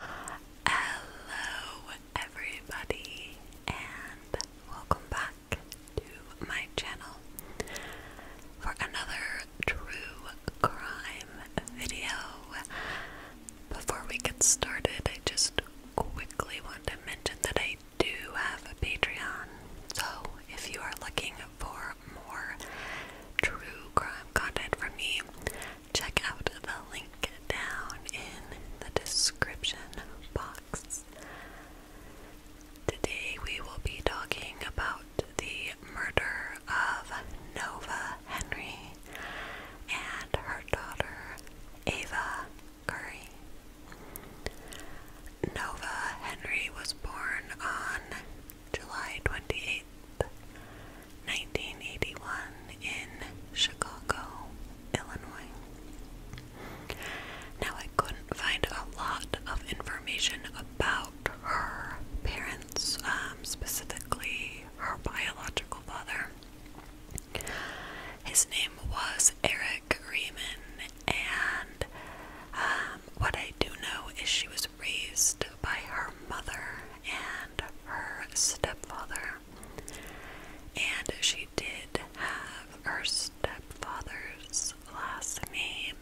Hello, everybody, and welcome back to my channel for another true crime video. Before we get started, I just quickly want to mention that I do have a Patreon, so if you are looking for more true crime content from me, check out the link down in the description box. Today we will be talking about the murder of Nova Henry and her daughter Ava Curry. Nova Henry was born on July 28th, 1981 in Chicago, Illinois. Now, I couldn't find a lot of information about her parents, um, specifically her biological father. His name was Eric Riemann, and um, what I do know is she was raised by her mother and her stepfather. And she did have her stepfather's last name,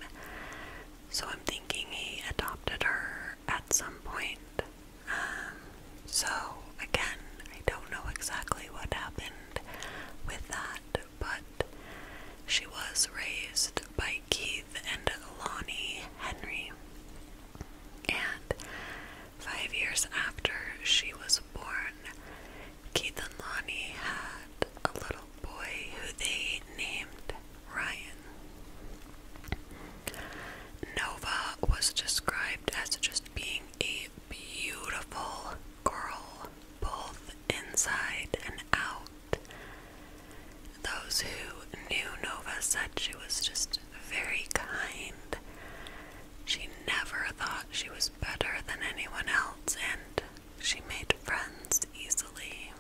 so I'm thinking he adopted her at some point. Um, so, again, I don't know exactly what happened with that, but she was raised by Keith and Lonnie Henry. And Five years after she was born, Keith and Lonnie had a little boy who they named Ryan. Nova was described as just being a beautiful girl, both inside and out. Those who knew Nova said she was just very kind. She never thought she was better than anyone else, and she made friends easily.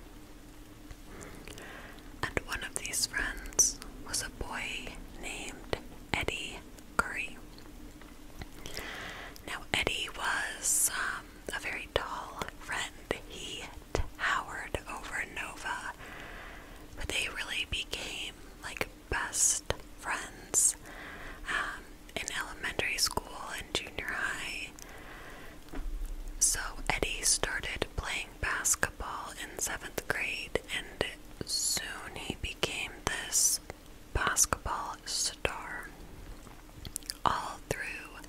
And one of these friends was a boy named Eddie Curry. Now, Eddie was um, a very tall friend. He towered over Nova, but they really became like best friends um, in elementary school and junior high. So Eddie started playing basketball in seventh grade, and soon he became this basketball star. All through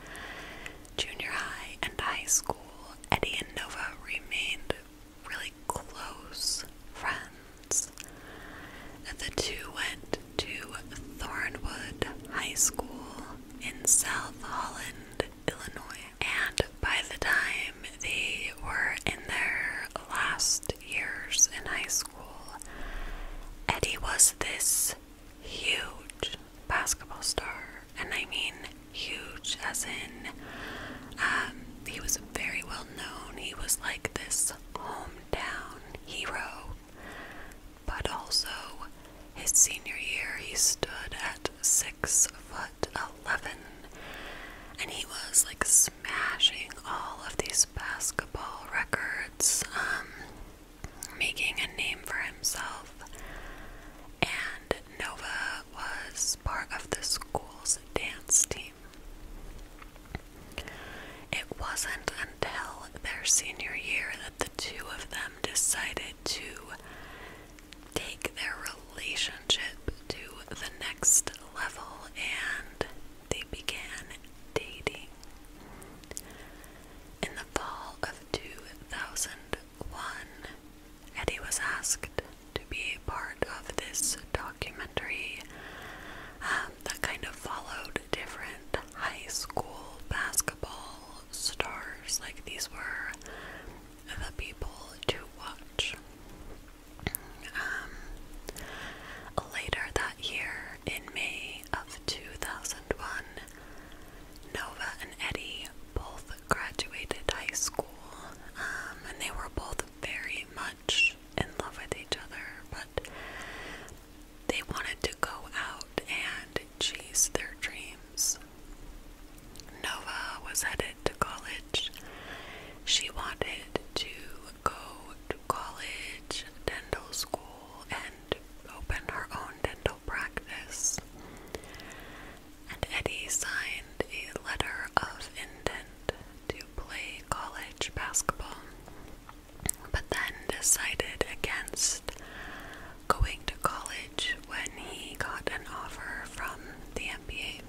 junior high and high school, Eddie and Nova remained really close friends. And the two went to Thornwood High School in South Holland, Illinois. And by the time they were in their last years in high school, Eddie was this huge basketball star. And I mean, huge, as in, um, he was very well known. He was like this hometown hero. But also, his senior year, he stood at six foot eleven, and he was like smashing all of these basketball records, um, making a name for himself. And Nova was part of the school's dance team. It wasn't until their senior year that the two of them decided to take their relationship to the next level and they began dating. In the fall of 2001, Eddie was asked to be part of this documentary um, that kind of followed different high school basketball stars. Like these were the people to watch. Um, later that year, in May of 2001, Nova and Eddie both graduated high school, um, and they were both very much in love with each other, but they wanted to go out and chase their dreams. Nova was headed to college. She wanted to go to college, dental school, and open her own dental practice and Eddie signed a letter of intent to play college basketball, but then decided against going to college when he got an offer from the NBA.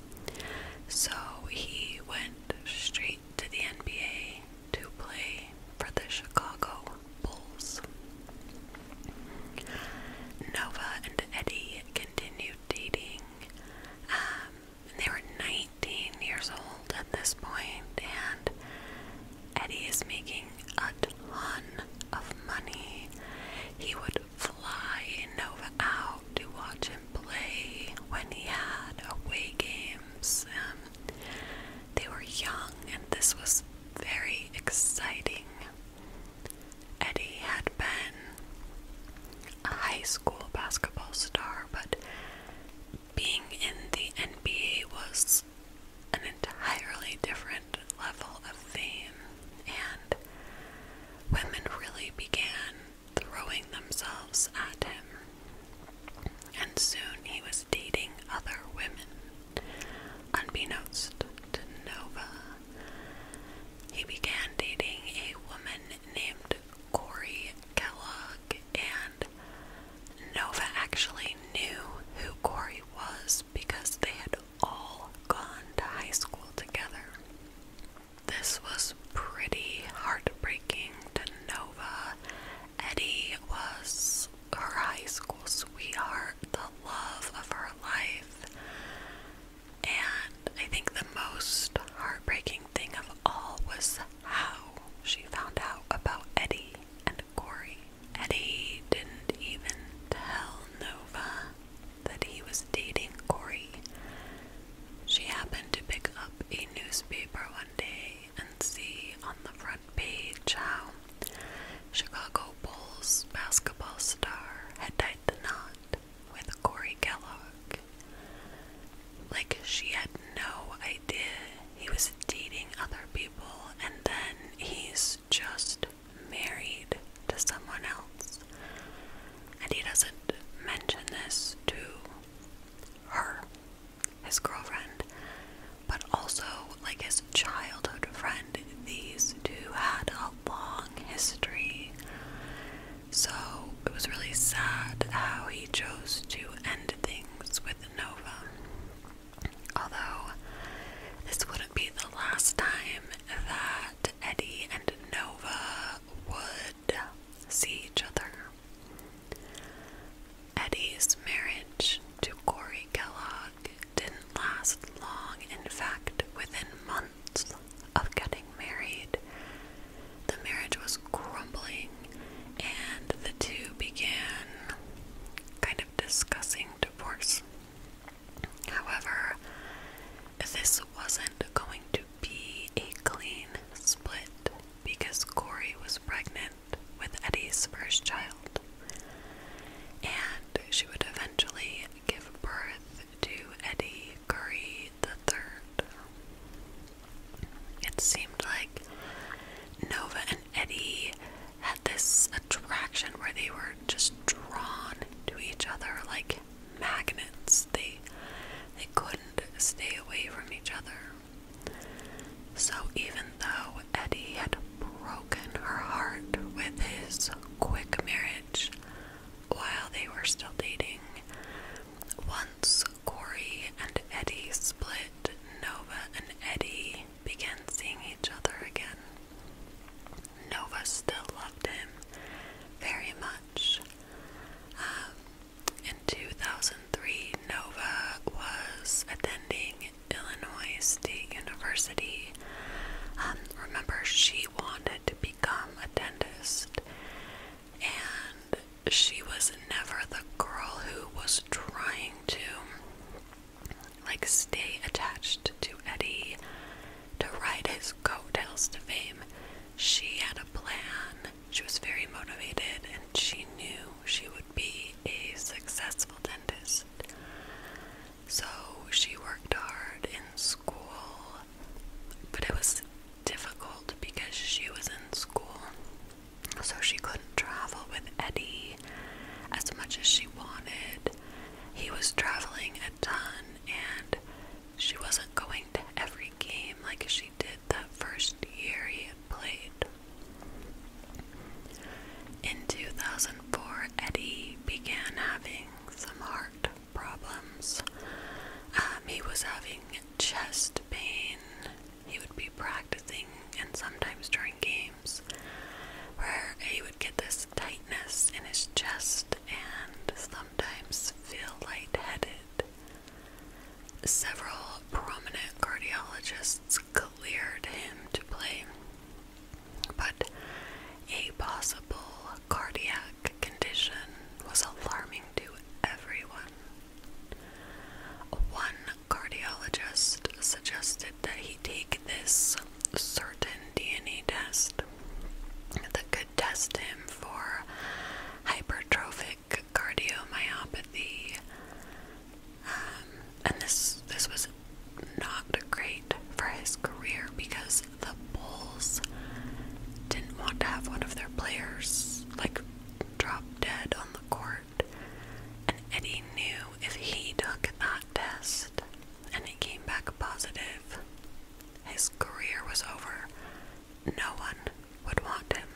So he went straight to the NBA to play for the Chicago Bulls. Nova and Eddie continued dating um, they were 19 years old at this point, and Eddie is making a ton of money. He would fly Nova out to watch him play when he had away games. Um, they were young, and this was very exciting. Eddie had been a high school basketball star, but being in the NBA was an entirely different level of fame, and women really began throwing themselves at him. And soon he was dating other women, unbeknownst to Nova. He began dating a woman named Corey Kellogg, and Nova actually knew who Corey was because they had all gone to high school together. This was pretty heartbreaking to Nova. Eddie was her high school sweetheart, the love of her life, and I think the most heartbreaking thing of all was how she found out about Eddie and Corey. Eddie didn't even tell Nova that he was dating Corey. She happened to pick up a newspaper one day and see on the front page how Chicago Bulls basketball star had died. the knot with Corey Kellogg. Like, she had no idea he was dating other people, and then he's just married to someone else. And he doesn't mention this to her, his girlfriend, but also like his childhood friend. These two had a long history. So it was really sad how he chose to end things with Nova. Although this wouldn't be the last time that Eddie and Nova would see each other. Eddie's marriage to Corey Kellogg didn't last long, in fact, within months of getting married. The marriage was crumbling, and the two began kind of discussing divorce. However, this wasn't going to be a clean split because Corey was pregnant with Eddie's first child, and she would eventually give birth to Eddie Gregory III. It seemed like Nova and Eddie had this attraction where they were just drawn to each other like magnets. They they couldn't stay away from each other. So even though Eddie had broken her heart with his quick marriage, while they were still dating. Once Corey and Eddie split, Nova and Eddie began seeing each other again. Nova still loved him very much. Um, in 2003, Nova was attending Illinois State University. Um, remember, she wanted to become a dentist, and she was never the girl who was trying to like stay attached to Eddie to ride his coattails to fame. She had a plan. She was very motivated and she knew she would be a successful dentist. So she worked hard in school, but it was difficult because she was in school, so she couldn't travel with Eddie as much as she wanted. He was traveling a ton, and she wasn't going to every game like she did that first year he had played. In 2004, Eddie began having some heart problems. Um, he was having chest pain. He would be practicing and sometimes during games where he would get this tightness in his chest and sometimes feel lightheaded. Several prominent cardiologists cleared him to play, but a possible cardiac condition was alarming to everyone. One cardiologist suggested that he take this certain DNA test that could test him for hypertrophic cardiomyopathy. Um, and this this was not great for his career because the Bulls didn't want to have one of their players like drop dead on the court, and Eddie knew if he took that test and it came back positive, his career was over. No one would want him.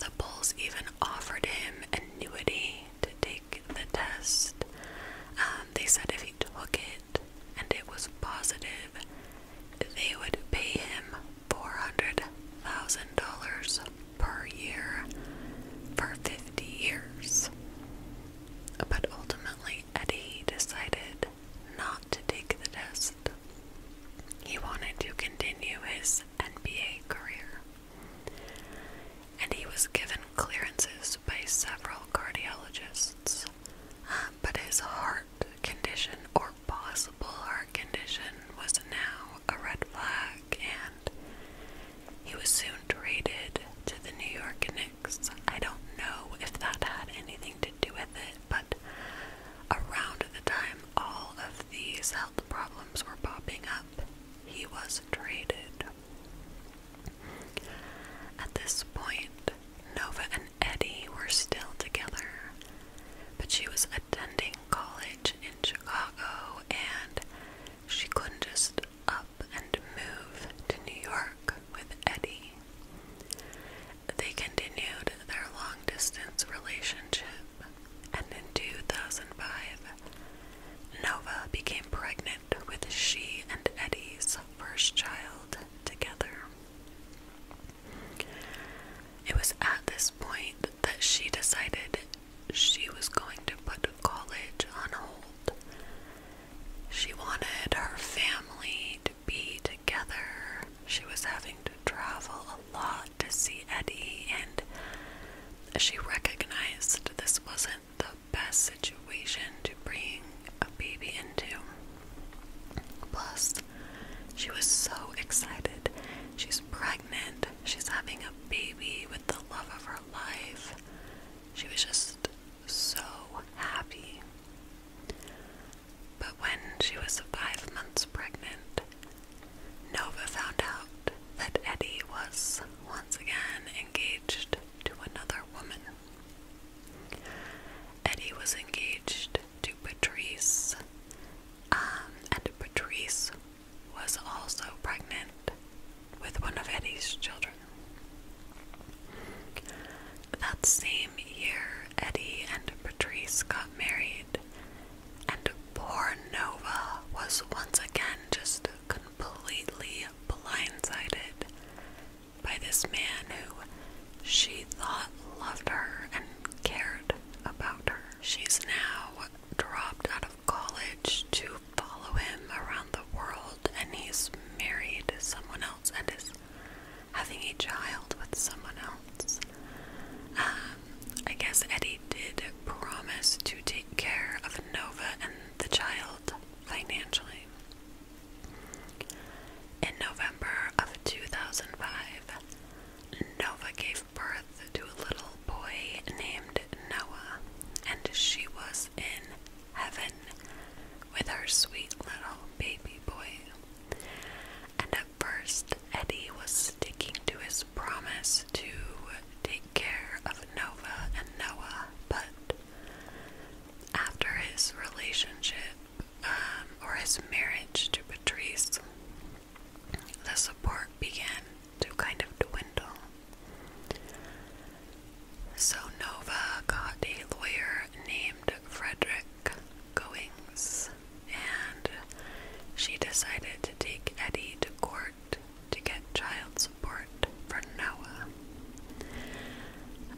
The Bulls even offered him annuity to take the test. Um, they said if he took it, and it was positive they would pay him $400,000 per year for 50 years. But ultimately, Eddie decided not to take the test. He wanted to continue his NBA career. And he was given clearances by several cardiologists, but his heart condition or possible heart condition was now a red flag, and he was soon traded to the New York Knicks. I don't know if that had anything to do with it, but around the time all of these health problems were popping up, he was traded. At this point, Nova Eddie were still together, but she was attending college in Chicago and she couldn't just up and move to New York with Eddie. They continued their long distance relationship, and in 2005, Nova became pregnant with she and Eddie's first child together. It was at this point that she decided she was going to put college on hold. She wanted her family to be together. She was having to travel a lot to see Eddie, and she recognized this wasn't the best situation to bring a baby into. Plus, she was so excited. She's pregnant. She's having a baby with the love of her life. She was just so happy. But when she was five months pregnant, Nova found out that Eddie was once again engaged to another woman. Eddie was engaged to Patrice, um, and Patrice was also pregnant with one of Eddie's children. That same year, Eddie and Patrice got married, and poor Nova was once again just completely blindsided by this man who she thought loved her and cared about her. She's now dropped out of college to follow him around the world, and he's married to someone else and is having a child with someone else. Um, I guess Eddie did promise to take care of Nova and the child financially. In November of 2005, Nova gave birth to a little boy named Noah, and she was in heaven with her sweet little baby boy. And at first, Eddie was sticking to his promise to take care of Nova and Noah, but after his relationship um, or his marriage to Patrice, the support began to kind of dwindle. So Nova got a lawyer named Frederick Goings, and she decided to take Eddie to court to get child support for Noah.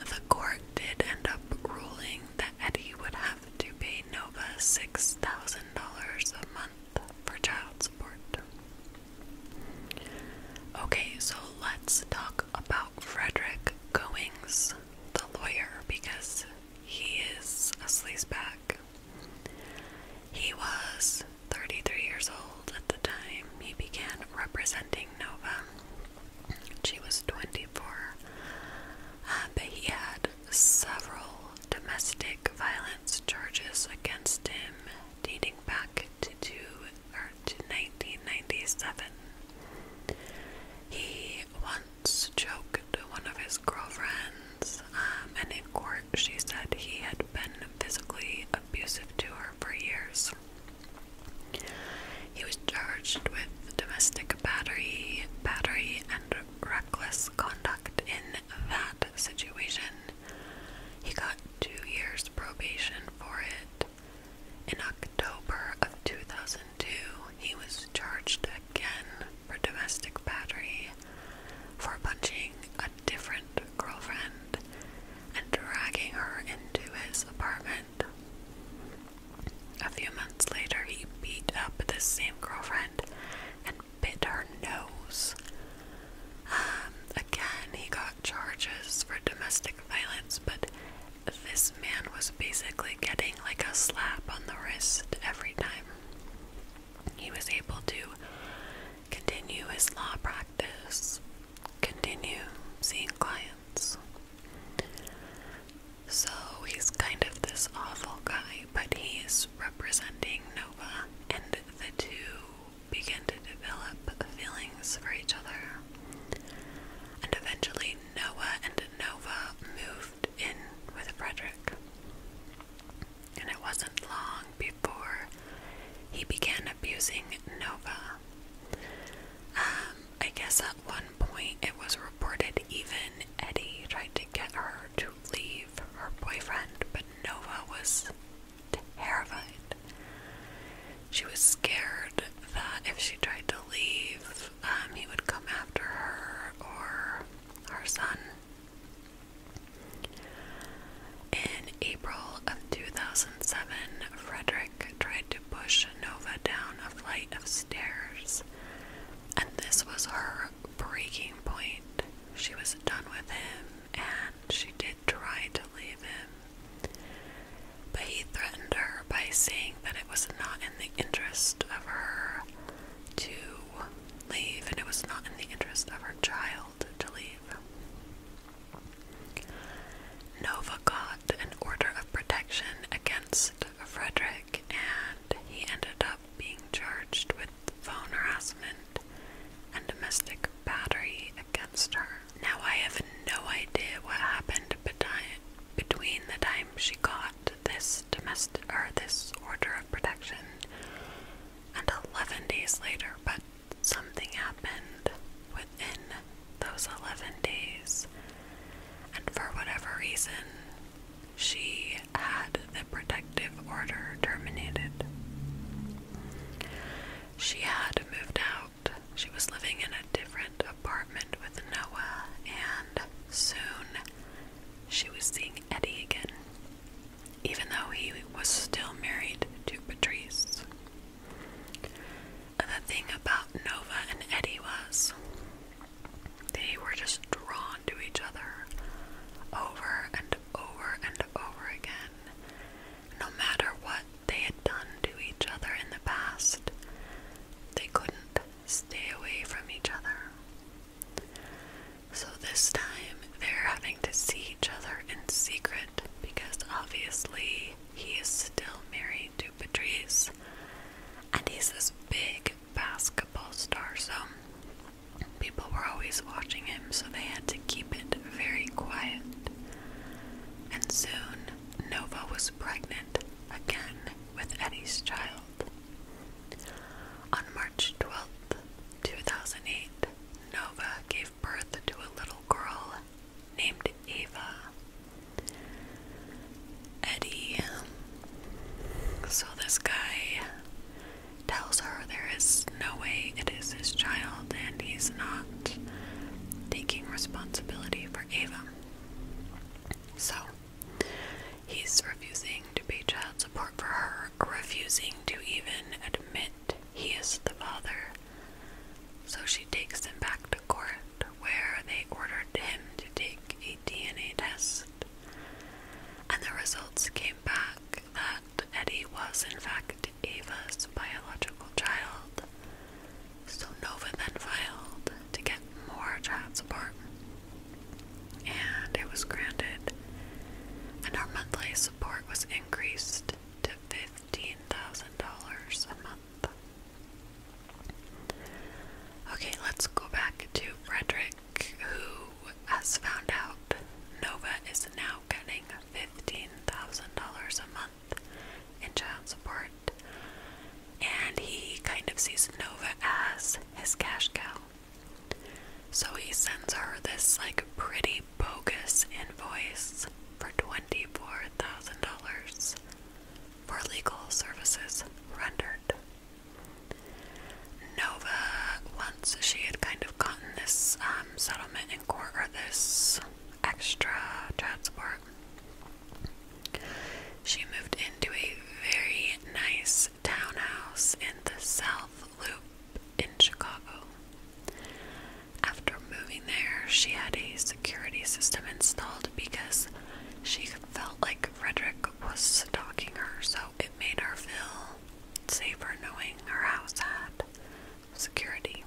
The court did end up ruling that Eddie would have to pay Nova $6,000 a month for child support. Okay, so let's talk about Frederick Goings, the lawyer, because he is a sleazebag. He was 33 years old at the time he began representing Nova. She was 24, uh, but he had several domestic violence charges against him dating back to, two, 1997. He once choked one of his girlfriends, um, and in court she said he had been physically abusive to her for years. He was charged with domestic battery, battery, and reckless conduct in that situation. He got two years probation for it. In October of 2002, he was charged again for domestic battery for punching a different girlfriend and dragging her into his apartment a few months later, he beat up this same girlfriend and bit her nose. Um, again, he got charges for domestic violence, but this man was basically getting like a slap on the wrist every time. He was able to continue his law practice, continue seeing clients. So he's kind of this awful guy, but he's representing Nova, and the two begin to develop feelings for each other. And eventually, Nova and Nova moved in with Frederick. And it wasn't long before he began abusing Nova. Um, I guess at one point it was reported even Eddie tried to get her to leave her boyfriend, but Nova was terrified. She was scared that if she tried to leave, um, he would come after her or her son. In April of 2007, Frederick tried to push Nova down a flight of stairs, and this was her breaking point. She was done with him, and she did try to leave him. But he threatened her by saying that it was not in the interest of her to leave, and it was not in the interest of her child to leave. Nova got an order of protection against against Frederick, and he ended up being charged with phone harassment and domestic battery against her. Now, I have no idea what happened between the time she got this domestic or this order of protection and 11 days later, but something happened within those 11 days. And for whatever reason, she had the protective order terminated. She had moved out. She was living in a different apartment with Noah, and soon she was seeing Eddie again, even though he was still married to Patrice. The thing about Nova and Eddie was they were just drawn to each other over and over and over again. No matter what they had done to each other in the past, they couldn't stay away from each other. So this time they're having to see each other in secret because obviously he is still married to Patrice and he's this big basketball star, so people were always watching him, so they had to keep it very quiet. And soon, Nova was pregnant again with Eddie's child. On March twelfth, two 2008, Nova gave birth to a little girl named Eva, Eddie. So this guy tells her there is no way it is his child and he's not taking responsibility for Ava. So he's refusing to pay child support for her, refusing to even admit he is the father. So she takes him back to court where they ordered him to take a DNA test. And the results came back that Eddie was, in fact, Ava's biological child. So Nova then filed to get more child support. And it was granted, and her monthly support was increased to $15,000 a month. Okay, let's go back to Frederick, who has found out Nova is now getting $15,000 a month in child support, and he kind of sees Nova as his cash cow. So he sends her this like pretty bogus invoice for $24,000 for legal services rendered. Nova, once she had kind of gotten this um, settlement in court or this extra transport, she moved into a very nice townhouse in the South Loop in Chicago. After moving there, she had a security system installed because she felt like Frederick was stalking her, so it made her feel safer knowing her house had security.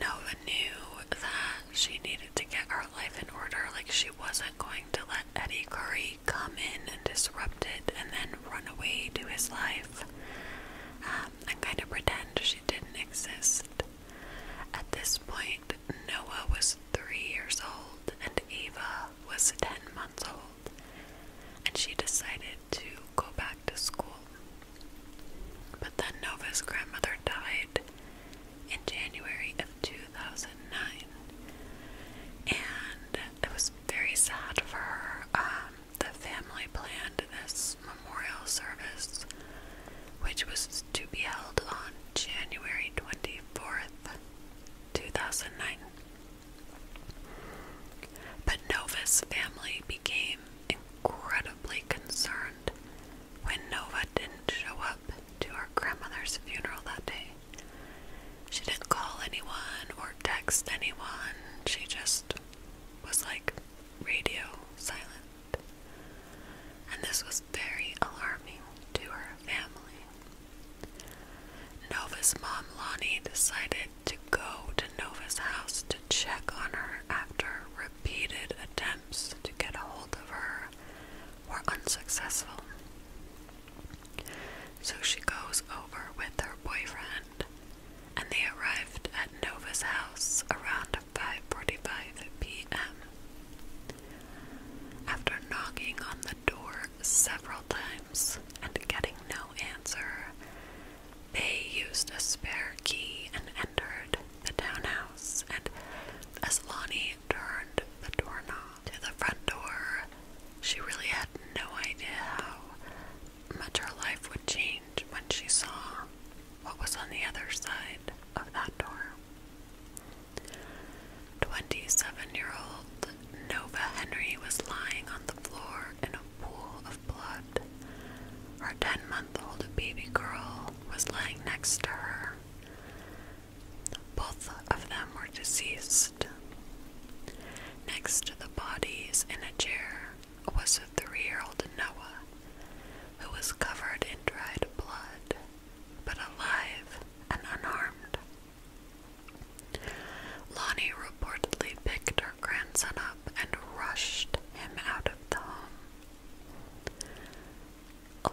Nova knew that she needed to get her life in order, like she wasn't going to let Eddie Curry come in and disrupt it and then run away to his life um, and kind of pretend she didn't exist. At this point, Noah was three years old and Eva was 10 months old, and she decided to go back to school. But then Nova's grandmother died in January of 2009, and it was very sad for her. Um, the family planned this Memorial Service, which was to be held on January 24th, 2009. But Nova's family became incredibly concerned when Nova didn't show up to her grandmother's funeral that day. She didn't call anyone or text anyone, she just was like radio silent and this was very alarming to her family. Nova's mom, Lonnie, decided to go to Nova's house to check on her after repeated attempts to get a hold of her were unsuccessful. So she goes over with her boyfriend, and they arrived at Nova's house around 5:45 p.m. After knocking on the door several times and getting no answer, they used a spare key and entered the townhouse. And as Lonnie turned the doorknob to the front door, she really had no idea how much her life would change when she saw what was on the other side of that door. 27 year old Nova Henry was lying on the floor in a pool of blood. Her 10 month old baby girl was lying next to her. Both of them were deceased. Next to the bodies in a chair was a three year old Noah, who was covered in dried blood, but alive and unharmed. Lonnie reportedly picked her grandson up and rushed him out of the home.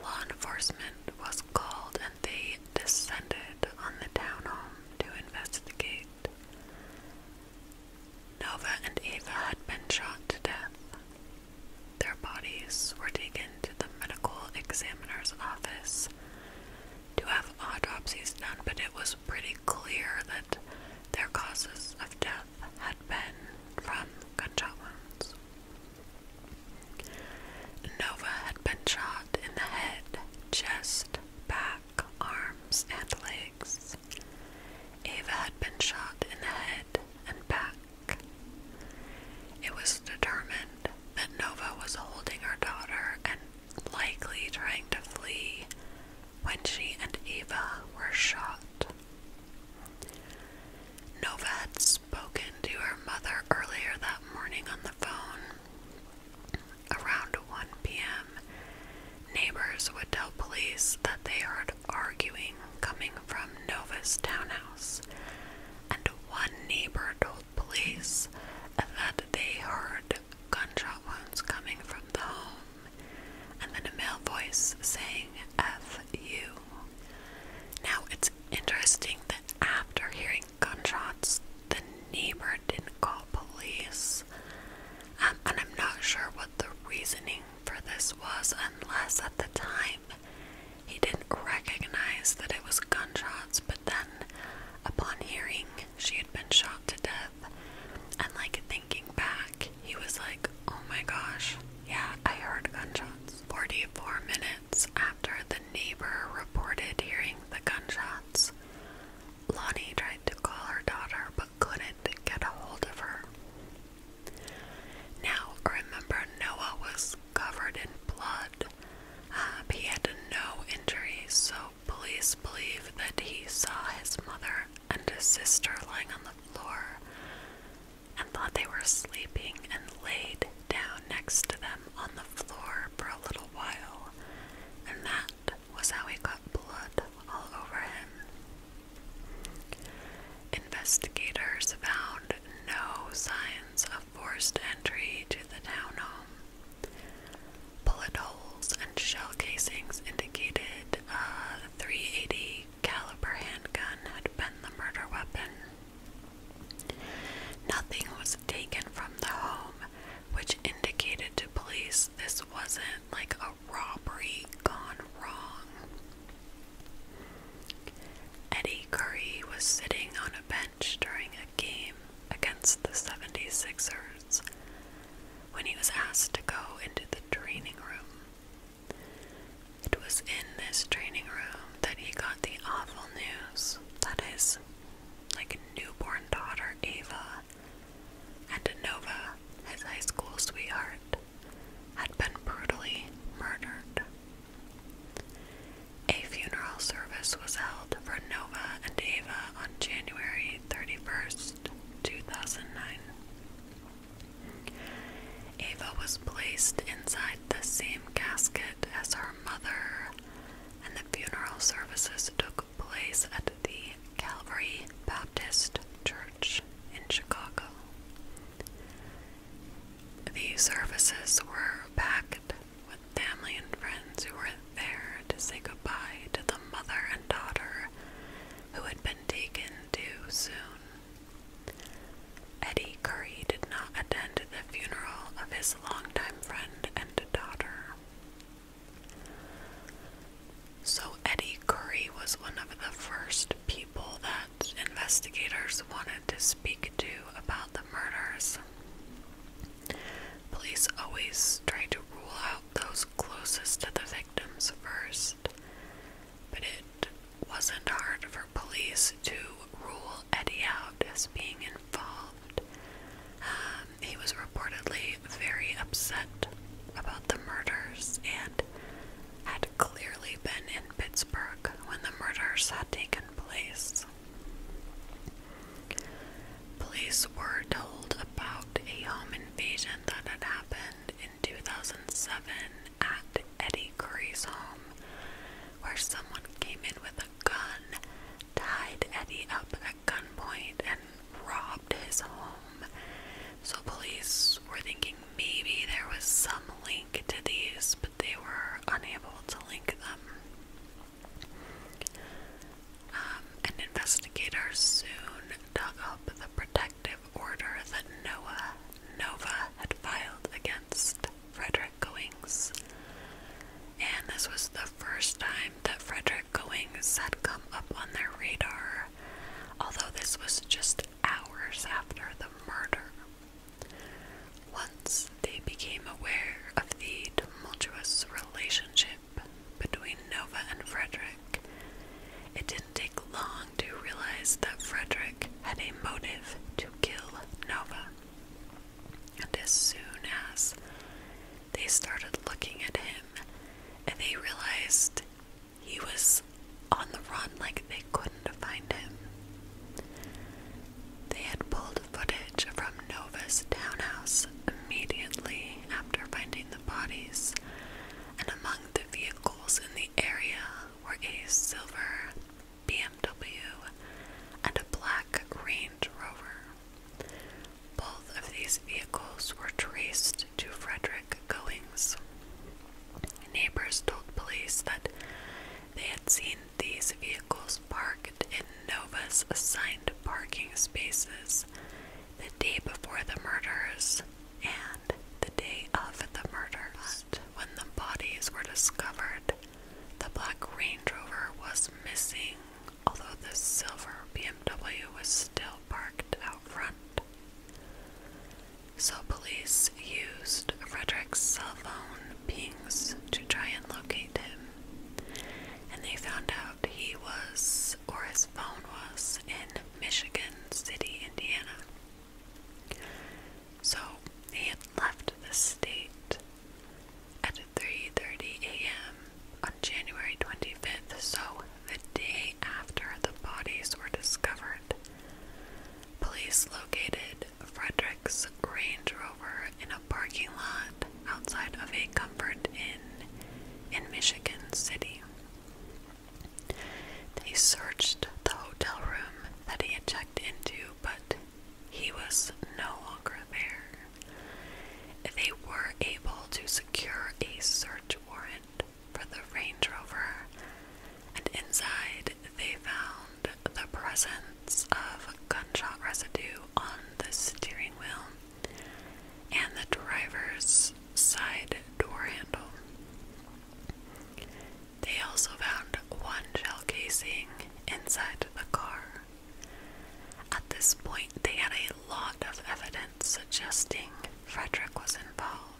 Law enforcement was called and they descended on the townhome to investigate. Nova and Eva had been shot to death, their bodies were taken to the medical examiner's office to have autopsies done, but it was pretty clear that their causes of death had been from gunshot wounds. Nova had been shot in the head, chest, back, arms, and legs. Ava had been shot in the head and back. It was determined that Nova was holding her daughter and likely trying to flee when she and Eva were shot. Nova had spoken to her mother earlier that morning on the phone. Around 1 p.m., neighbors would tell police that they heard arguing coming from Nova's townhouse, and one neighbor told police that they heard gunshot coming from the home, and then a male voice saying F you. Now it's interesting that after hearing gunshots, the neighbor didn't call police, um, and I'm not sure what the reasoning for this was, unless at the time he didn't recognize that it was gunshots, but then upon hearing she had been shot to death, and like thinking back, he was like, Oh my gosh, yeah, I heard gunshots. 44 minutes after the neighbor reported hearing the gunshots, Lonnie tried to call her daughter but couldn't get a hold of her. Now, remember, Noah was covered in blood. Um, he had no injuries, so police believe that he saw his mother and his sister lying on the floor and thought they were sleeping and laid down next to them on the floor for a little while. And that was how he got blood all over him. Investigators found no signs of forced entry to the townhome. Bullet holes and shell casings indicated a 380 caliber handgun had been the murder weapon. Nothing was taken from the home, which indicated to police this wasn't like a robbery gone wrong. Eddie Curry was sitting on a bench during a game against the 76ers when he was asked to go into the training room. It was in this training room that he got the awful news that his like newborn daughter Ava and Nova, his high school sweetheart, had been brutally murdered. A funeral service was held for Nova and Ava on January 31st, 2009. Ava was placed inside the same casket as her mother, and the funeral services took place at the Calvary Baptist Church in Chicago. The services were packed with family and friends who were there to say goodbye to the mother and daughter who had been taken too soon. Eddie Curry did not attend the funeral of his longtime friend and daughter. So, Eddie Curry was one of the first people that investigators wanted to speak to about the murders. Police always try to rule out those closest to the victims first, but it wasn't hard for police to rule Eddie out as being involved. Um, he was reportedly very upset about the murders and had clearly been in Pittsburgh when the murders had taken place. Police were told about a home invasion that had happened in 2007 at Eddie Curry's home, where someone came in with a gun, tied Eddie up at gunpoint, and robbed his home. So police were thinking maybe there was some link to these, but they were unable to link them. Um, an investigator soon dug up the protective order that Noah Nova had filed against Frederick Goings, and this was the first time that Frederick Goings had come up on their radar, although this was just hours after the murder. Once they became aware of the tumultuous relationship between Nova and Frederick, it didn't take long to realize that Frederick had a motive to kill Nova. And as soon as they started looking at him, and they realized he was on the run like they couldn't find him. They had pulled footage from Nova's townhouse immediately after finding the bodies, and among the vehicles in the area were a silver BMW and a black Range Rover. Both of these vehicles were traced to Frederick Goings. Neighbors told police that they had seen these vehicles parked in Nova's assigned parking spaces the day before the murders and the day of the murders. when the bodies were discovered, the black Range Rover was missing, although the silver BMW was still parked out front. So police used Frederick's cell phone pings to try and locate him, and they found out he was, or his phone was, in Michigan City, Indiana. So he had left the state at 3:30 a.m. on January 25th, so the day after the bodies were discovered. Police located Frederick's Range Rover in a parking lot outside of a Comfort Inn in Michigan City. They searched the hotel room that he had checked into, but he was no longer there. They were able to secure a search warrant for the Range Rover, and inside they found the presence of gunshot residue on the steering wheel and the driver's side door handle. They also found one shell casing inside the car. At this point, they had a lot of evidence suggesting Frederick was involved.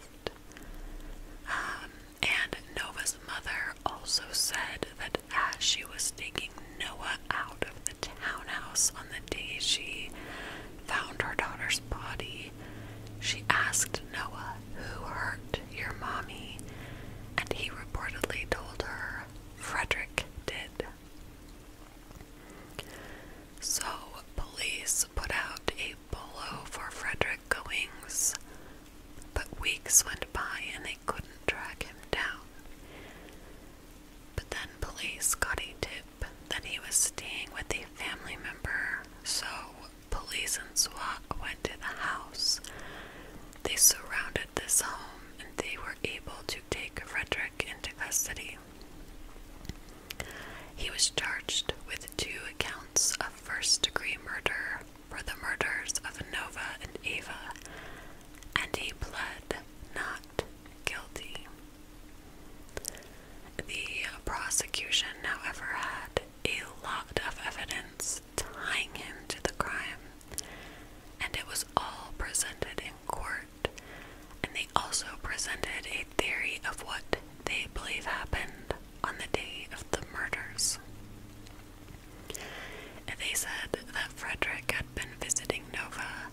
Um, and Nova's mother also said that as she was taking Noah out of the townhouse on the day she found her daughter's body, she asked Noah, Who hurt your mommy? And he reportedly told her, Frederick did. So, police put out a polo for Frederick Goings, but weeks went by and they couldn't track him down. But then police got a tip that he was staying with a family member, so police and SWAT went to the house. They surrounded this home and they were able to take Frederick into custody. He was charged with two accounts of first degree murder for the murders of Nova and Eva, and he pled not guilty. The prosecution, however, had a lot of evidence tying him to the crime, and it was all presented in court, and they also presented a theory of what they believe happened on the day of the murders. They said that Frederick had been visiting Nova.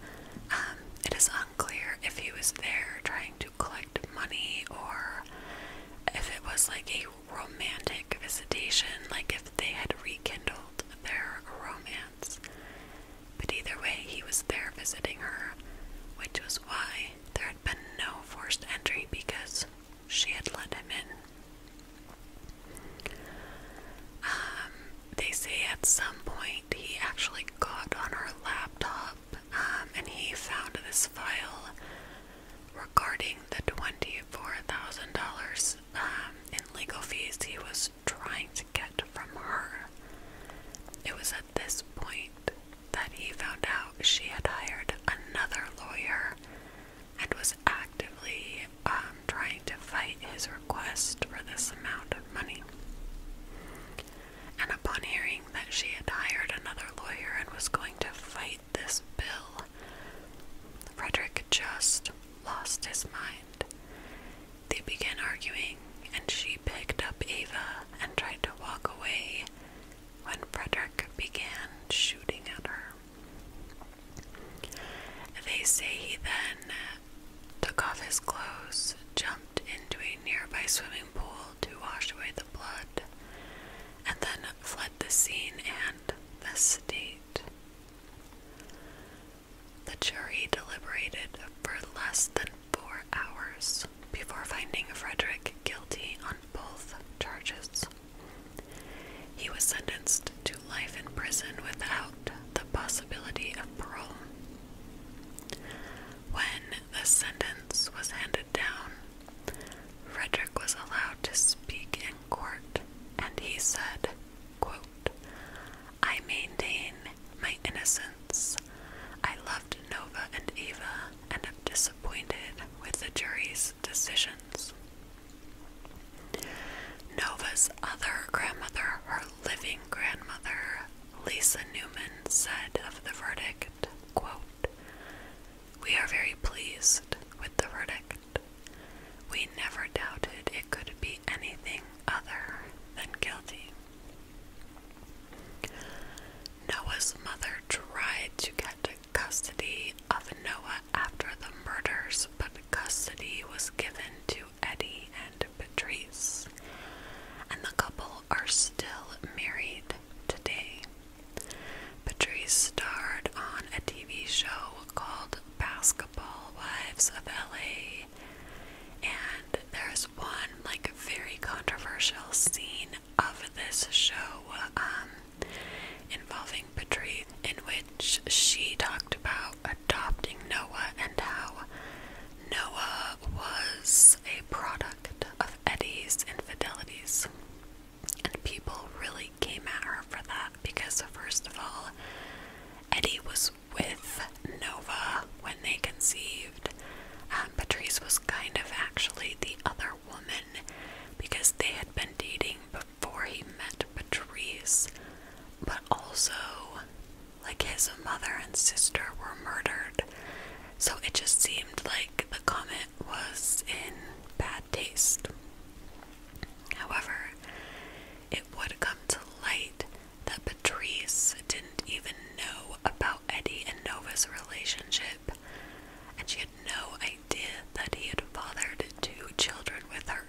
Um, it is unclear if he was there trying to collect money or if it was like a romantic visitation, like if they had rekindled their romance. But either way, he was there visiting her, which was why there had been no forced entry because she had let him in. Um, they say at some point he actually got on her laptop um, and he found this file regarding the $24,000 um, in legal fees he was trying to get from her. It was at this point that he found out she had hired another lawyer and was actively um, trying to fight his request for this amount of money. And upon hearing that she had hired another lawyer and was going to fight this bill, Frederick just lost his mind. They began arguing, and she picked up Ava and tried to walk away when Frederick began shooting at her. They say he then took off his clothes, jumped into a nearby swimming pool to wash away the blood, and then fled the scene and the state. The jury deliberated for less than four hours before finding Frederick guilty on both charges. He was sentenced to life in prison without the possibility of parole. When the sentence was handed down, Frederick was allowed to speak in court, and he said, I maintain my innocence. I loved Nova and Eva and am disappointed with the juries." decisions. Nova's other grandmother, her living grandmother, Lisa Newman, said of the verdict, We are very pleased with the verdict. We never doubted it could be anything other than guilty. Noah's mother tried to get custody of Noah after the murders, but custody was given to Eddie and Patrice, and the couple are still married today. Patrice starred on a TV show called Basketball Wives of LA, and there's one like very controversial scene of this show um, involving Patrice, in which she talked about adopting Noah and how Noah was a product of Eddie's infidelities. And people really came at her for that because, first of all, Eddie was with Noah when they conceived. Patrice was kind of actually the other woman because they had been dating before he met Patrice, but also, like, his mother and sister were murdered. So it just seemed like the comment was in bad taste. However, it would come to light that Patrice didn't even know about Eddie and Nova's relationship and she had no idea that he had fathered two children with her.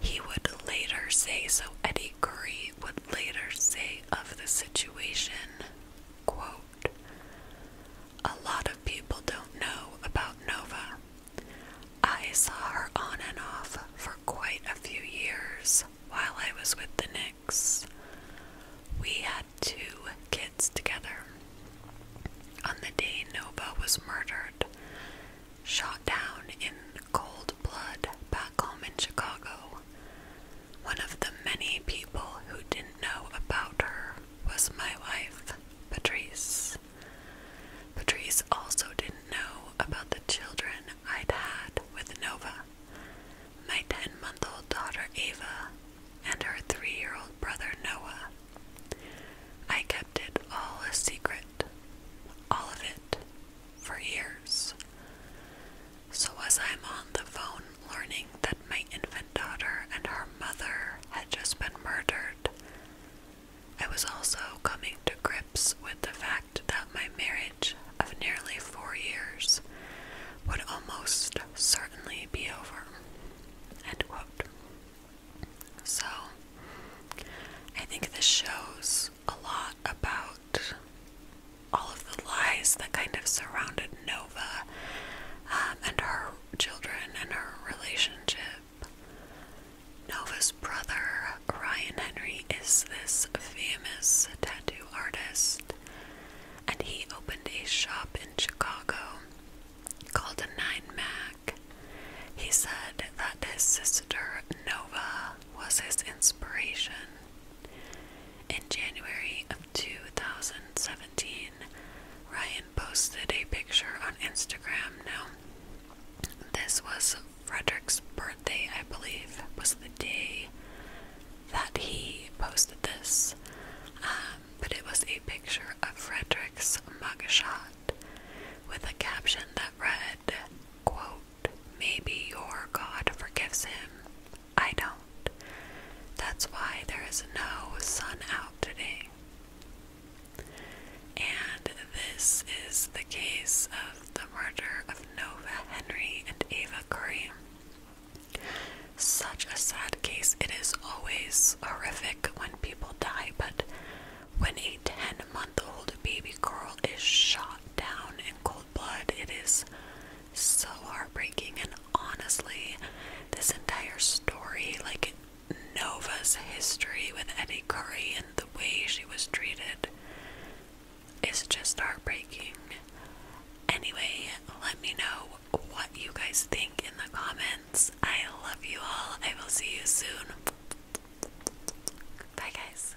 He would later say, so Eddie Curry would later say of the situation, A lot of people don't know about Nova. I saw her on and off for quite a few years while I was with the Knicks. We had two kids together. On the day Nova was murdered, shot down in cold blood back home in Chicago, one of the many people who didn't know about her was my wife, Patrice. Patrice also didn't know about the children I'd had with Nova. My 10 month old daughter Ava and her three year old brother Noah. I kept it all a secret, all of it, for years. So, as I'm on the phone learning that my infant daughter and her mother had just been murdered, I was also coming to grips with the fact that my marriage of nearly four years would almost certainly be over. So, I think this shows a lot about all of the lies that kind of surrounded Nova um, and her children and her relationship. Nova's brother, Ryan Henry, is this famous tattoo artist, and he opened a shop in Chicago called a nine Mac. He said that his sister Nova was his inspiration. In January of 2017, Ryan posted a picture on Instagram. Now, this was Frederick's birthday, I believe, was the day that he posted this. Um, but it was a picture of Frederick's mugshot with a caption that read, Maybe your God forgives him. I don't. That's why there is no sun out today. And this is the case of the murder of Nova Henry and Ava Curry such a sad case. It is always horrific when people die, but when a 10 month old baby girl is shot down in cold blood, it is so heartbreaking. And honestly, this entire story, like Nova's history with Eddie Curry and the way she was treated, is just heartbreaking. Anyway, let me know what you guys think in the comments. I love you all. I will see you soon. Bye, guys.